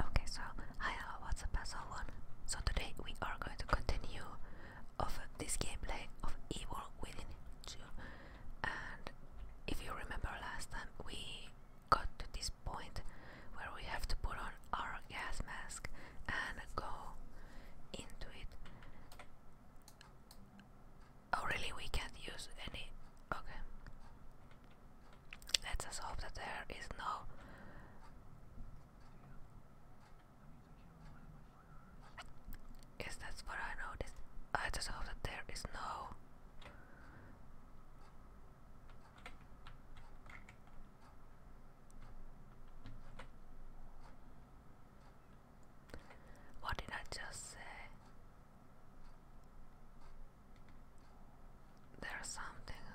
Okay, so hi hello, uh, what's up everyone? So today we are going to continue of this gameplay of Evil Within 2 and if you remember last time we got to this point where we have to put on our gas mask and go into it. Oh really, we can't use any... okay. Let's just hope that there is no. Yes, that's what I noticed. I just hope that there is no. What did I just say? There's something.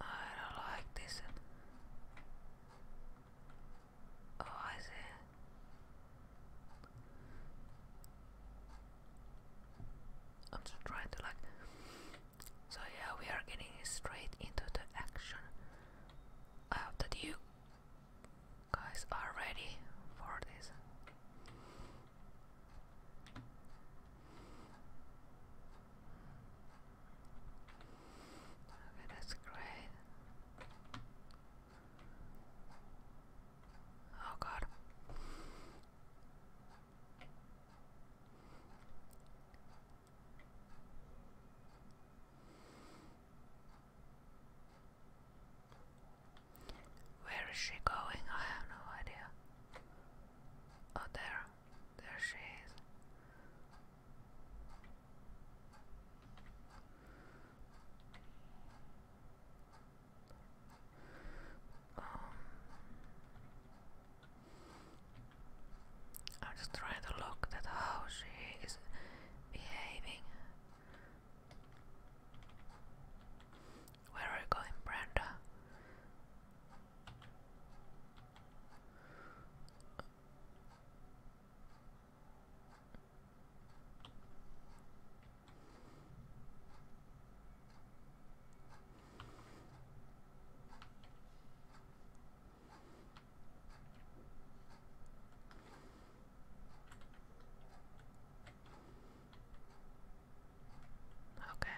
I don't like this. Oh, I see. I'm just trying to like. So, yeah, we are getting straight into the action. I hope you guys are ready for this. Okay, that's great. Oh god. Where is she going? I have no idea. Oh, there. There she is. Um, I'm just trying to look at how she is behaving. Where are you going, Brenda? Okay. Oops.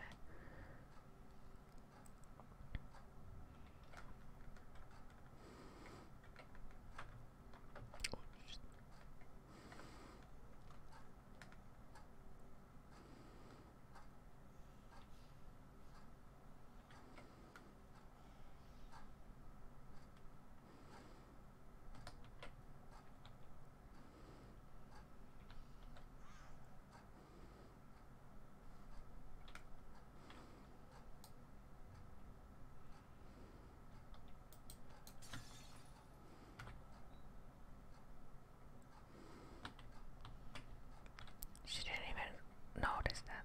She didn't even notice that.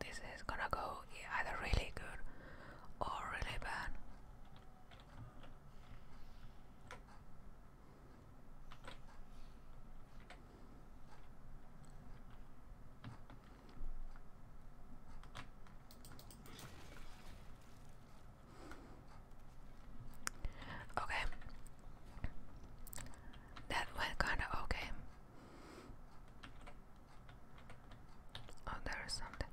This is gonna go either really good or really bad. Okay. That went kind of okay. Oh, there is something.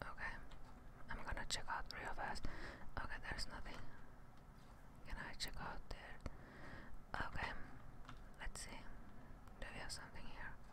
Okay. I'm gonna check out real fast. Okay, there's nothing. Can I check out there? Okay. Let's see. Do we have something here?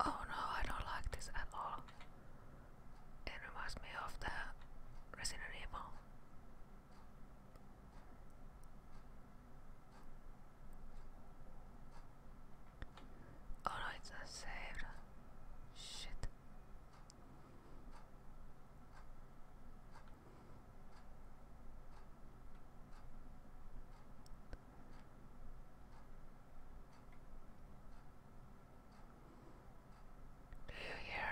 Oh no, I don't like this at all. It reminds me of the Resident Evil. Oh no, it's not saved. Shit. Do you hear?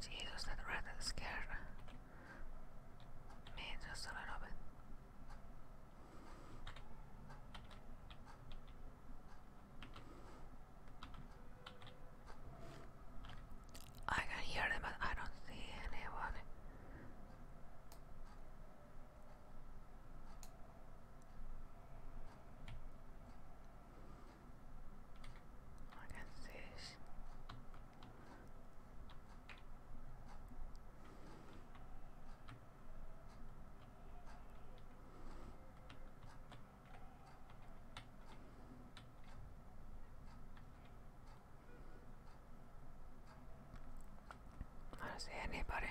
Jesus, that rat scared me just a little bit. I can hear them, but I don't see anyone. I can see I don't see anybody.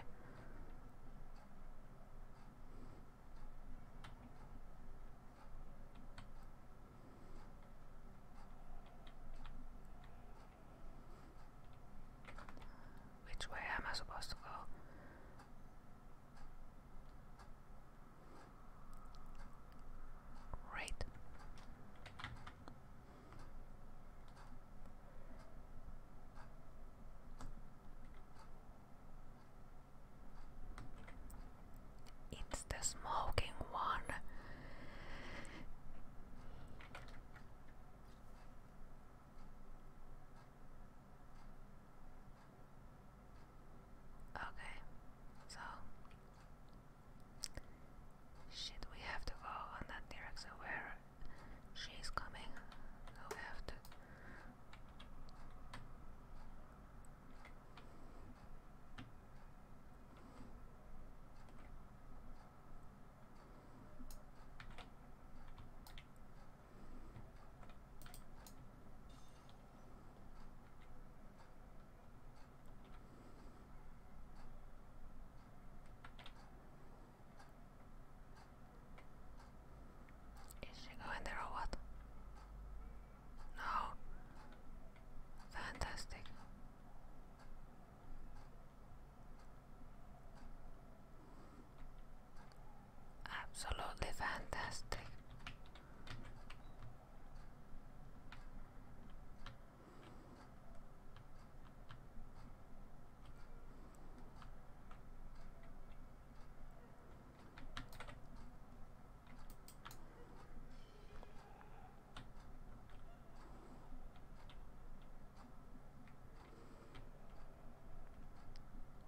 Which way am I supposed to go? Right. It's the smoking one. Okay, so shit, we have to go on that direction where she's coming. So we have to. Is she going there or what? No. Fantastic. Absolutely fantastic.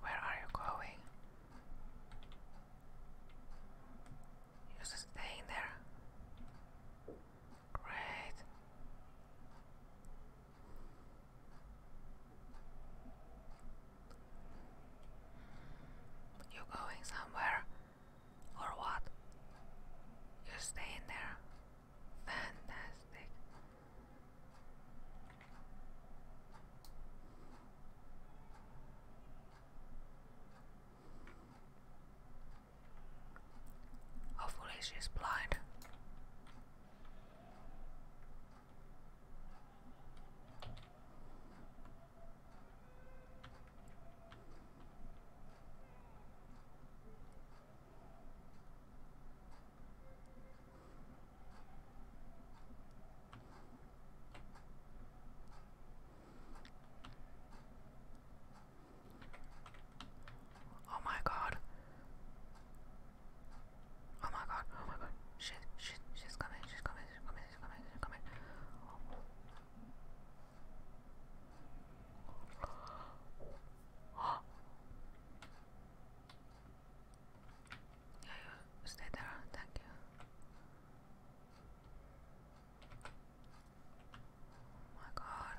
Where are you going? You're just staying there. Great. You going somewhere or what? You're staying there. Fantastic. Hopefully she's blind. Oh my god. Oh my god. Oh my god. Shit, shit, she's coming, she's coming, she's coming, she's coming, she's coming. Yeah, you stay there. Thank you. Oh my God.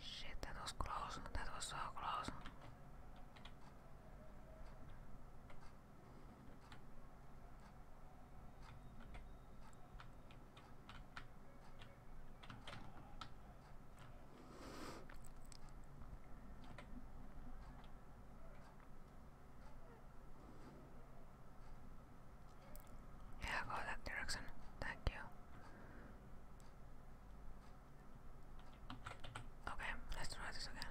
Shit, that was close. That was so close. Yeah, go that direction. Thank you. Okay, let's try this again.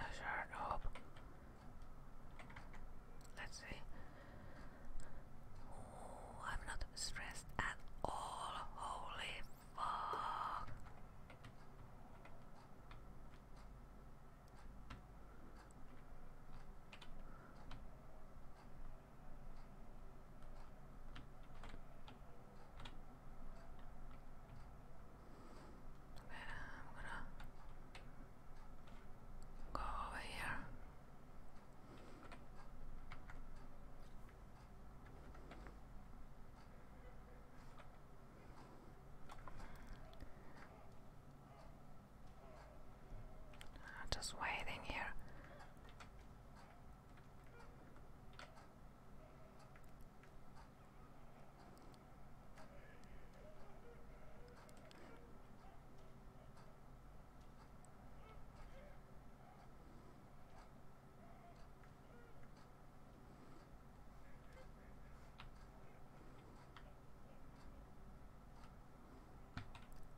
Let's hard hope. Let's see. I'm not stressed at all. Holy fuck. Okay, I'm gonna go over here. Just waiting here.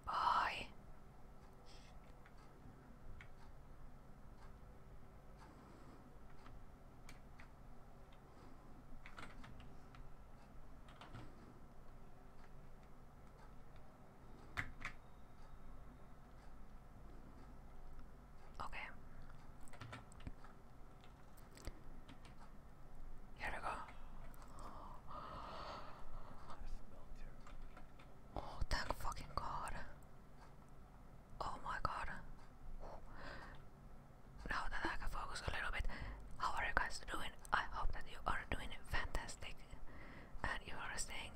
Bye. Okay. Here we go. Oh, thank fucking god. Oh my god. Now that I can focus a little bit, how are you guys doing? I hope that you are doing fantastic and you are staying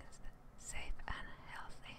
safe and healthy.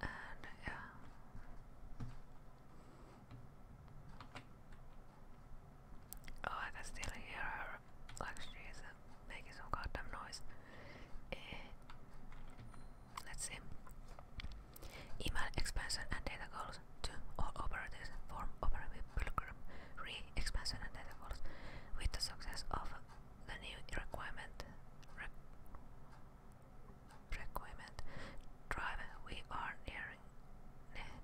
And yeah. Oh, I can still hear her. Like uh, some goddamn noise. Eh, let's see. Email expansion and data goals to all operators form operate with re-expansion and data goals with the success of the new requirement requirement. Driver, we are nearing,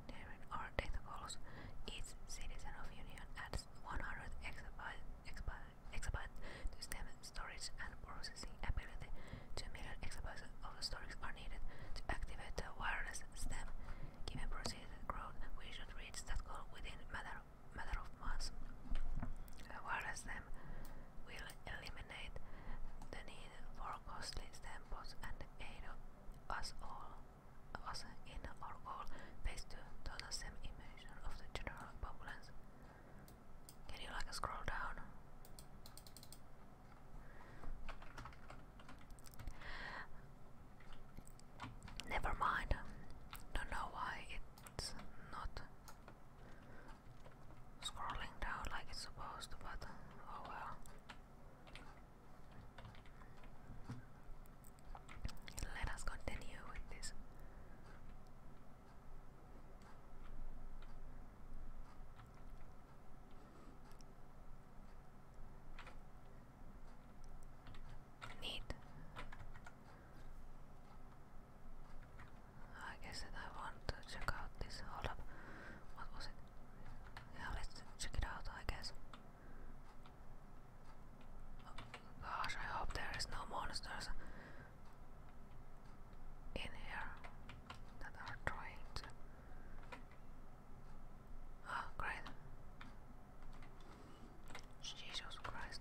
nearing our death goals. Each citizen of Union adds 100 exabyte, exabyte, to stem storage and processing ability. 2 million exabytes of storage are needed to activate the wireless stem. Given proceeded growth, we should reach that goal within matter matter of months. The uh, wireless stem time will eliminate the need for costly samples and aid us all us in our goal based to the same image of the general populace. Can you like scroll down? Never mind. Don't know why it's not scrolling down like it's supposed to, but oh well. Let us continue with this. Neat. I guess that I want to check out this. Hold up. What was it? Yeah, let's check it out, I guess. Oh, gosh, I hope there is no monsters in here that are trying Oh, great. Jesus Christ.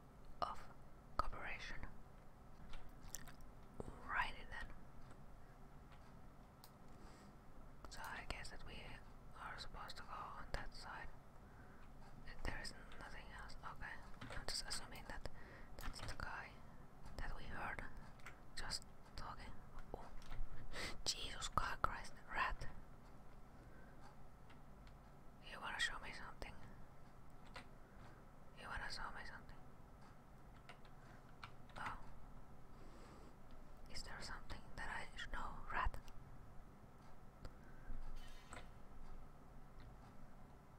of cooperation. Righty then. So I guess that we are supposed to go on that side. There is nothing else. Okay, I'm just assuming that that's the guy that we heard just talking. Oh, Jesus Christ, rat! You wanna show me something? You wanna show me something? Oh. Is there something that I know, rat?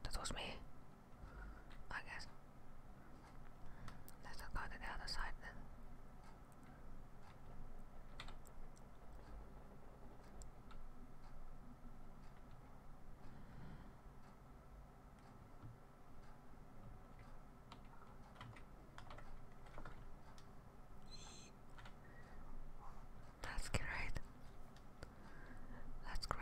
That was me. I guess. Let's go to the other side then. That's great. That's great.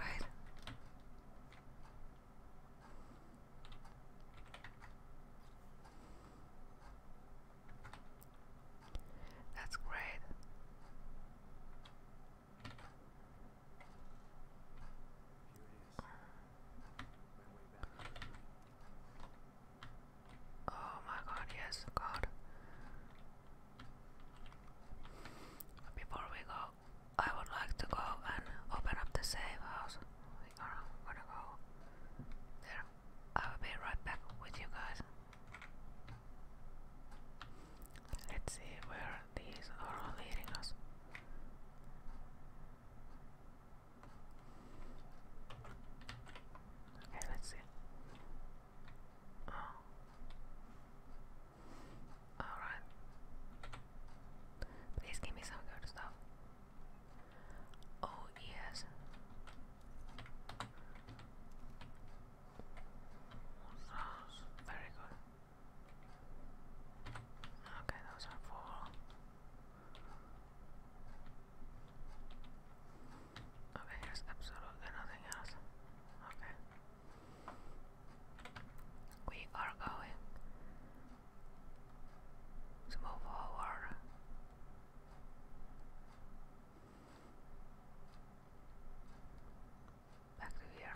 That's great. Oh my god, yes, god. Before we go, I would like to go and open up the safe house. We are gonna go there. I will be right back with you guys. Let's see where these are leading us. Okay, let's see. Oh. Alright. Please give me some good stuff. Oh, yes. very good. Okay, those are full. Okay, there's absolutely nothing else. Okay. We are going to move forward back to here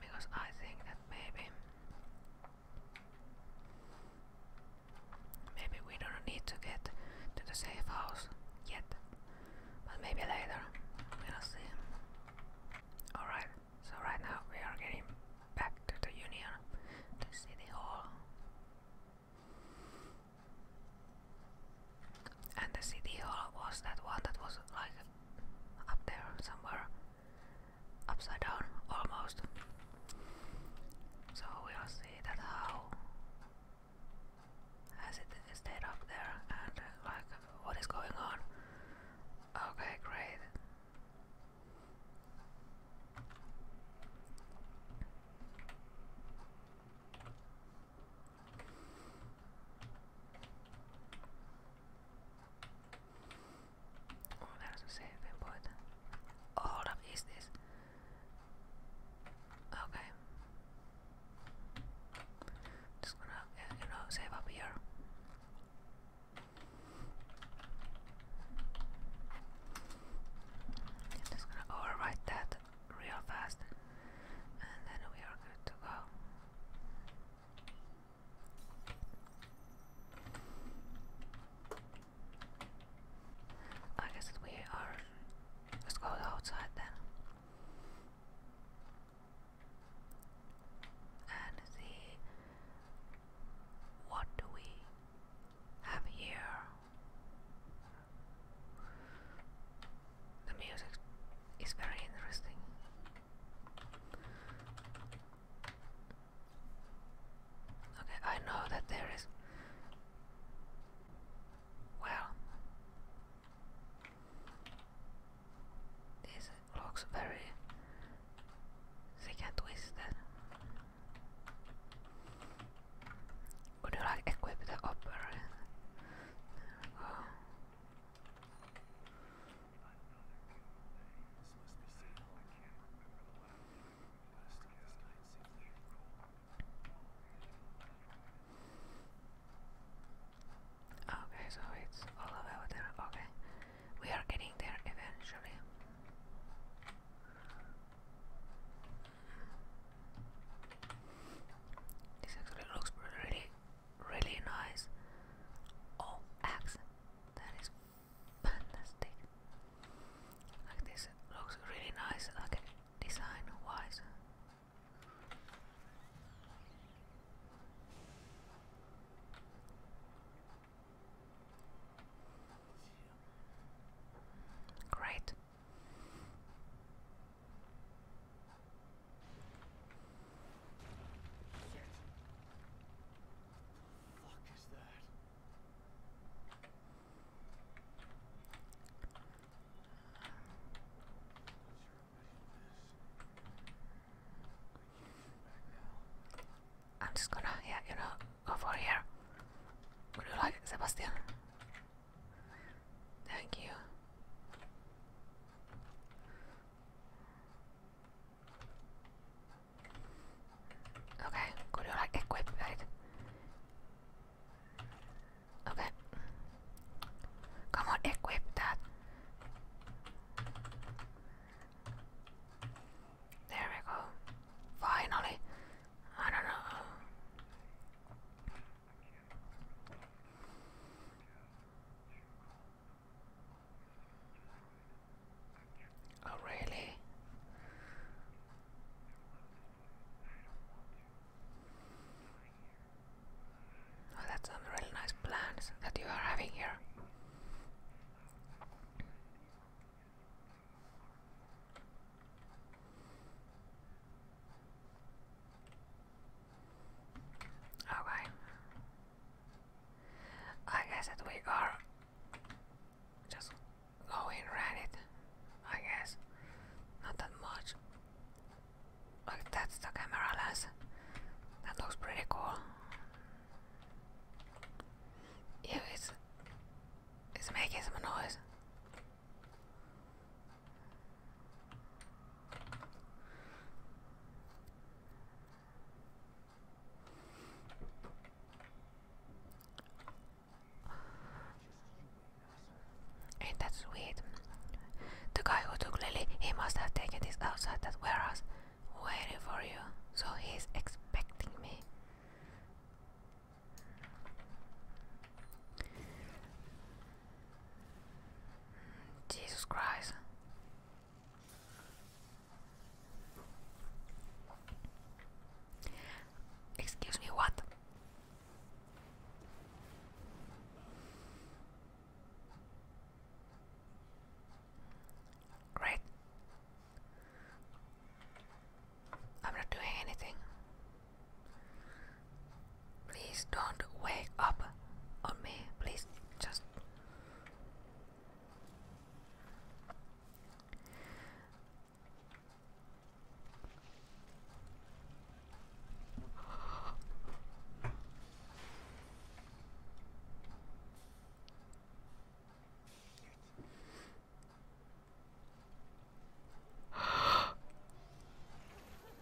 because I think that maybe maybe we don't need to get to the safe house yet but maybe later we'll see alright so right now we are getting back to the union the city hall and the city hall was that one that was like up there somewhere upside down almost so we'll see that how has it stayed up there and like what is going on okay great Oh, there's a saving point. Oh, hold up, is this? Okay. Just gonna, uh, you know, save up here. just gonna overwrite that real fast and then we are good to go. I guess we are let go outside then and see what do we have here the music is very interesting. Okay, I know that there is. Well, this looks very thick and twisted. Would you equip the opera? There we go. Okay, so it's all the way over there. Okay, we are getting there eventually. This actually looks really really nice. Oh, X, that is fantastic. Like this looks really nice, like design wise. Great. What the fuck is that? I'm just gonna, yeah, you know, go for here. Would you like it, Sebastian? Thank you. Okay, could you equip right? Okay. Come on, equip that. There we go. Finally. I don't know. Oh, really? Oh, that's some really nice plans that you are having here. Okay. I guess that we are just going it. I guess not that much. Look, that's the camera lens. That looks pretty cool. Yeah, it's it's making some noise. Ain't that sweet? The guy who took Lily, he must have taken this outside that was waiting for you. So he's expecting me. Jesus Christ. Excuse me, what? Great. I'm not doing anything. Please don't wake up on me. Please just.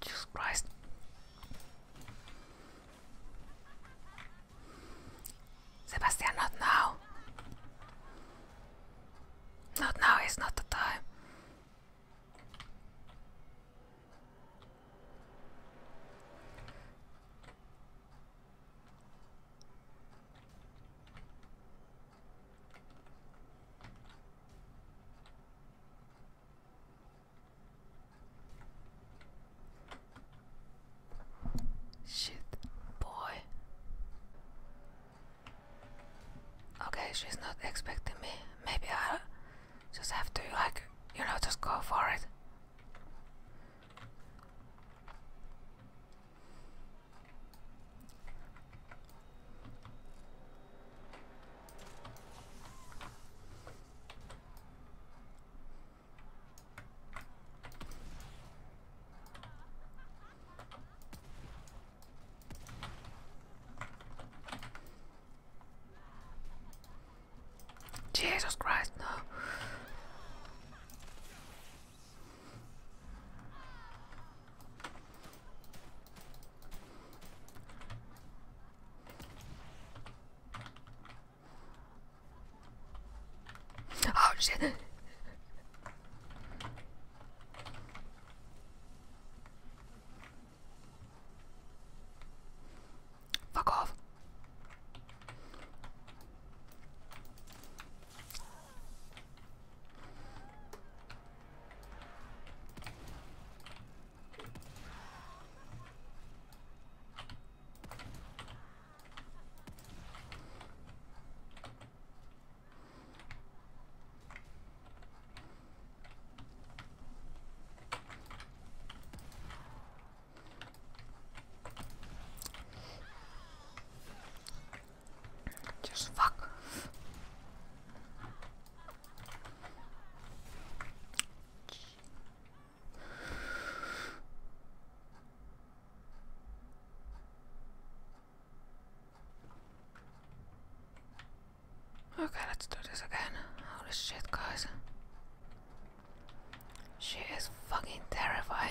Jesus Christ. Sebastian, not now. Not now is not the time. Shit, boy. Okay, she's not expecting me. Maybe I just have to like, you know, just go for it. Jesus Christ, no. Oh shit. Fuck off. Just fuck. Okay, let's do this again. Holy shit, guys. She is fucking terrifying.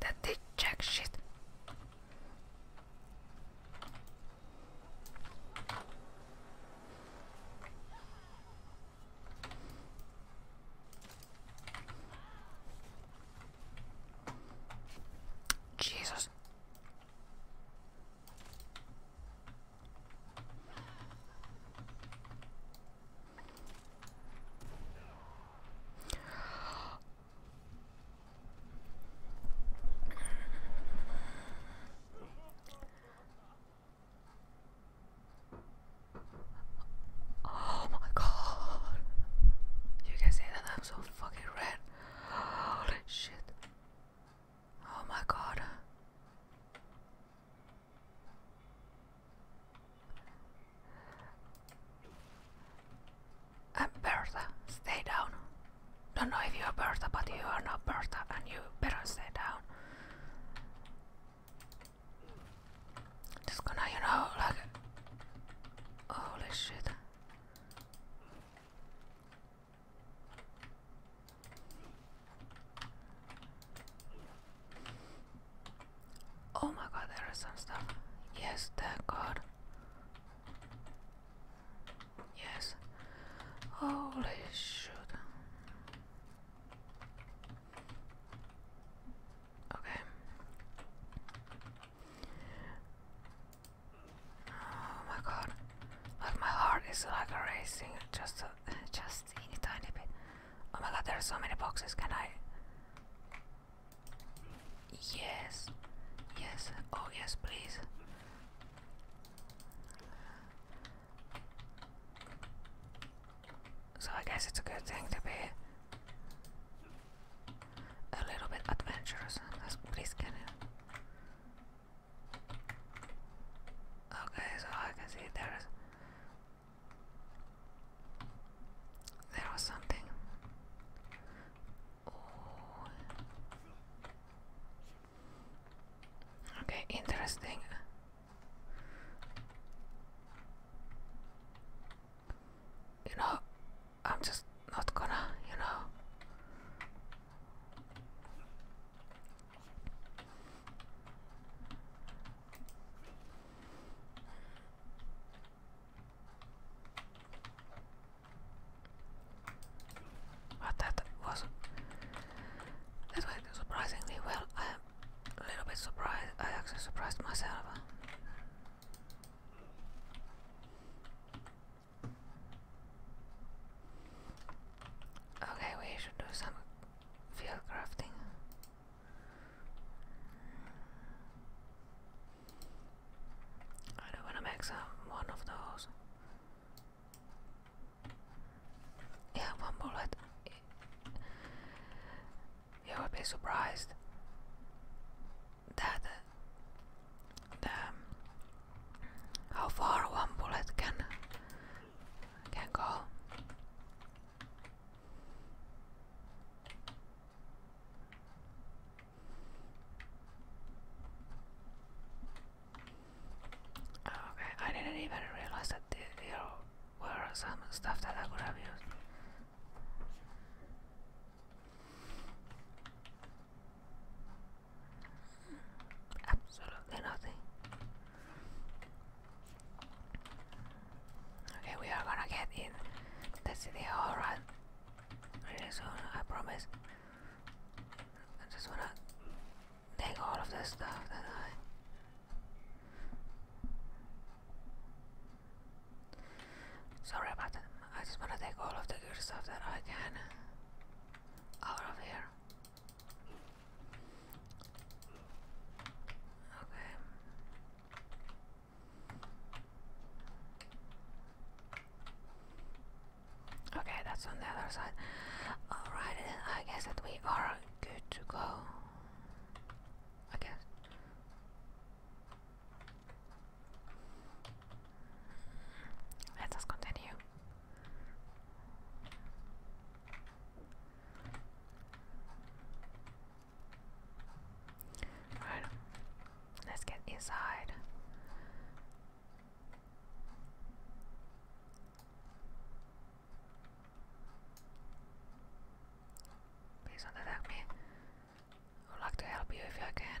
that did jack shit. Jesus. Oh my god. You can see that I'm so fucking red. shit. Oh my god i Bertha, stay down. Don't know if you're Bertha, but you are not Bertha, and you better stay down. Just gonna, you know, like. Holy shit. Oh my god, there is some stuff. Yes, thank god. Yes. Holy shit. Okay. Oh my god. Like my heart is like racing just a, just teeny tiny bit. Oh my god, there are so many boxes. Can I Yes, yes, oh yes, please. So I guess it's a good thing to be a little bit adventurous. Let's Okay, so I can see there's there was something. Okay, interesting. You know, I'm just not gonna, you know. But that was that went surprisingly well. I am a little bit surprised. I actually surprised myself. Okay, we should do some field crafting. I don't want to make some one of those. Yeah, one bullet. You would be surprised that the, uh, um, how far one bullet can can go. Oh, okay, I didn't even realize that there were some stuff that I could have used. Absolutely nothing. Okay, we are gonna get in the city All right. really soon, I promise. I just wanna take all of the stuff that I Sorry about that. I just wanna take all of the good stuff that I can out of here. Okay. Okay, that's on the other side. Alright, I guess that we are good to go. I guess. Let us continue. Alright, let's get inside. Please do me. I would like to help you if I can.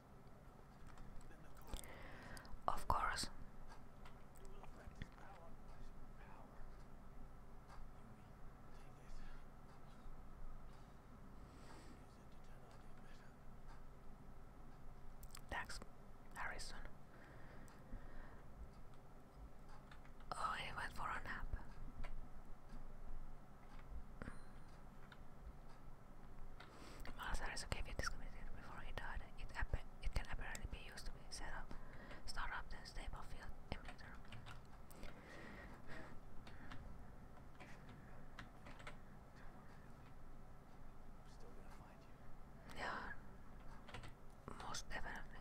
Of course. Thanks, Harrison. Oh, he went for a nap. Malasaurus gave it this before he died. It, can apparently be used to set up, start up the stable field emulator. Yeah, most definitely.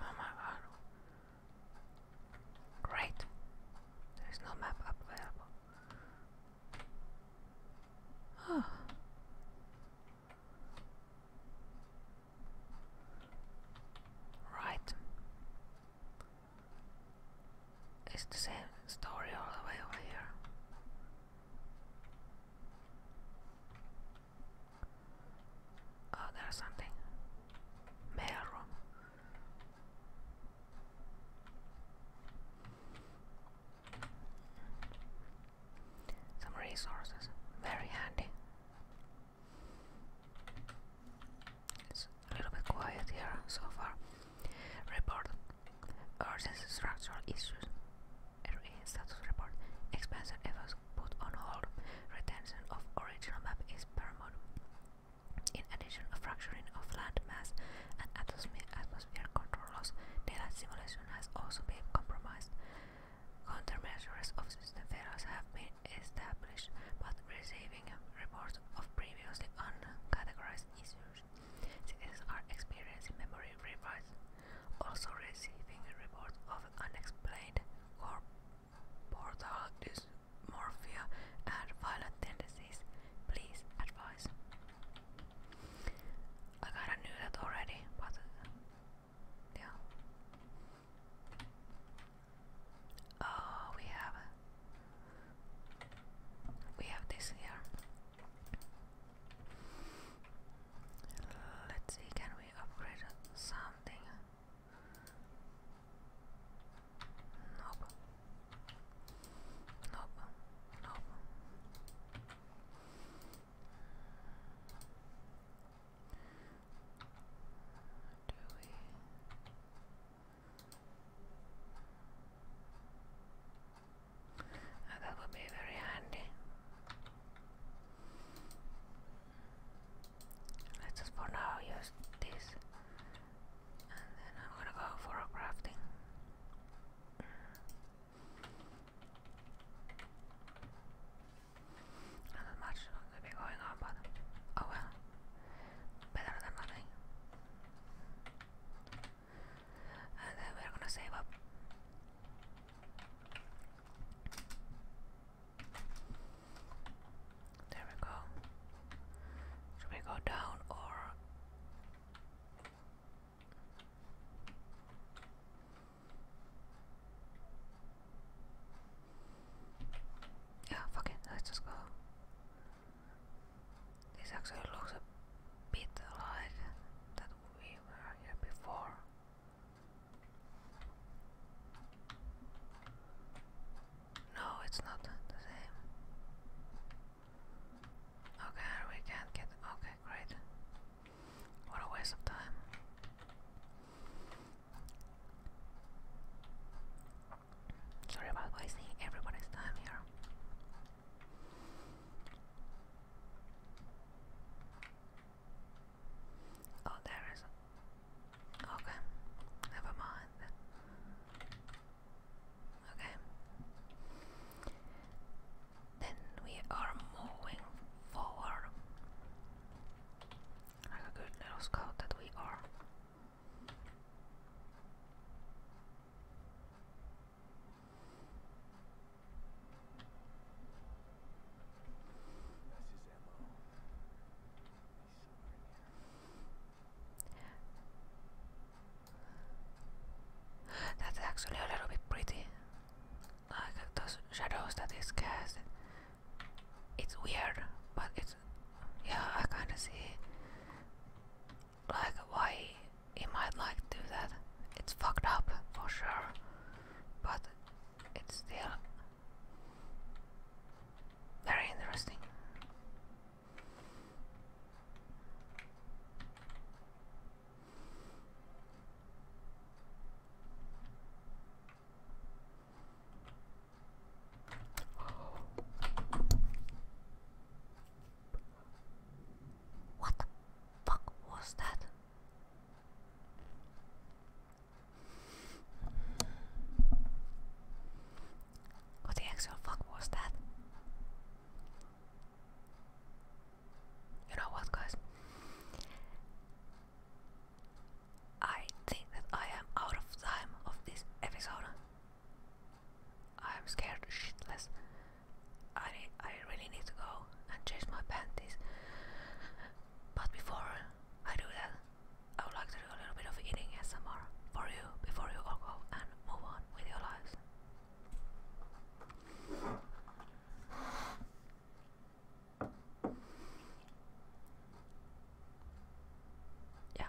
Oh my god. Great. There is no map up available. Oh. Right. It's the same story all the way over here. Oh, there's something. Mail Some resources. Very handy. It's a little bit quiet here so far. Report urgent structural issues. RE status report. Expansion efforts put on hold. Retention of original map is paramount. In addition, fracturing of land mass and atmosphere, atmosphere control loss, daylight simulation has also been compromised. Countermeasures of system failures have been established, but receiving reports of previously uncategorized issues, citizens are experiencing memory rewrites also receiving reports of unexplained corporal dysmorphia and violent tendencies. Please advise. I kinda knew that already, but yeah. Oh, we have we have this here. Let's see, can we upgrade something? Nope. Nope. Nope. Do we? Ah, that would be very handy. Let's just for now use this. And then I'm gonna go for a crafting. Not much will be going on, but oh well. Better than nothing. And then we're gonna save up. There we go. Should we go down or? Yeah, fuck let's just go. This actually looks a bit like that we were here before. No, it's not the same. Okay, we can't get. Okay, great. What a waste of time. Sorry about wasting everybody's time here. Oh, there is. Okay, never mind. Okay. Then we are moving forward. Like a good little scout that we are. That's actually a little bit pretty. Like those shadows that is cast. It's weird, but it's yeah, I kinda see like why he might like do that. It's fucked up for sure. But it's still very interesting. What the fuck was that? What the actual fuck was that? You know what, guys? I think that I am out of time of this episode. I am scared shitless. I I really need to go and change my panties. But before I do that, I would like to do a little bit of eating ASMR for you before you all go and move on with your lives. Yeah.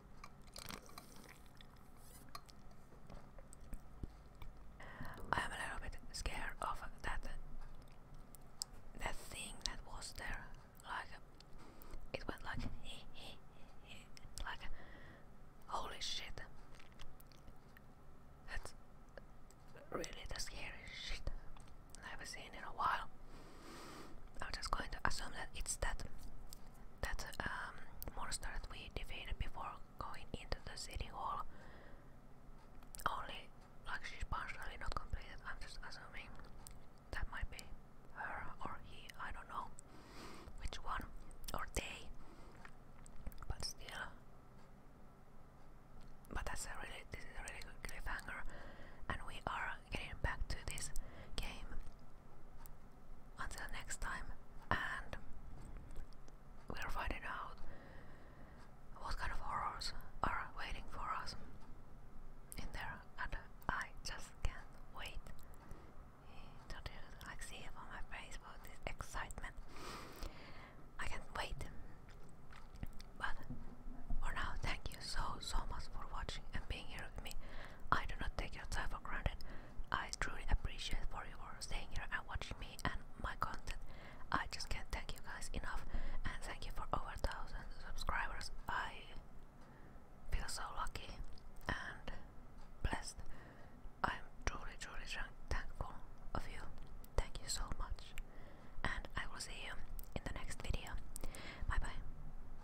I am a little bit scared of that that thing that was there. Like it went like like holy shit. That's really the scariest shit I've ever seen in a while. I'm just going to assume that it's that that um, monster that we defeated before going into the city hall. Only like she's partially not completed. I'm just assuming that might be her or he. I don't know which one or they. But still, but that's a really this is a really good cliffhanger, and we are getting back to this game until next time, and we're finding out what kind of horrors are waiting for us in there, and I just can't wait. Don't you like see it on my face for this excitement? I can't wait. But for now, thank you so so much for watching and being here with me. I do not take your time for granted. I truly appreciate for you for staying here and watching me and my content. I just can't thank you guys enough and thank you for over a thousand subscribers. I feel so lucky and blessed. I'm truly truly thankful of you. Thank you so much. And I will see you in the next video. Bye bye.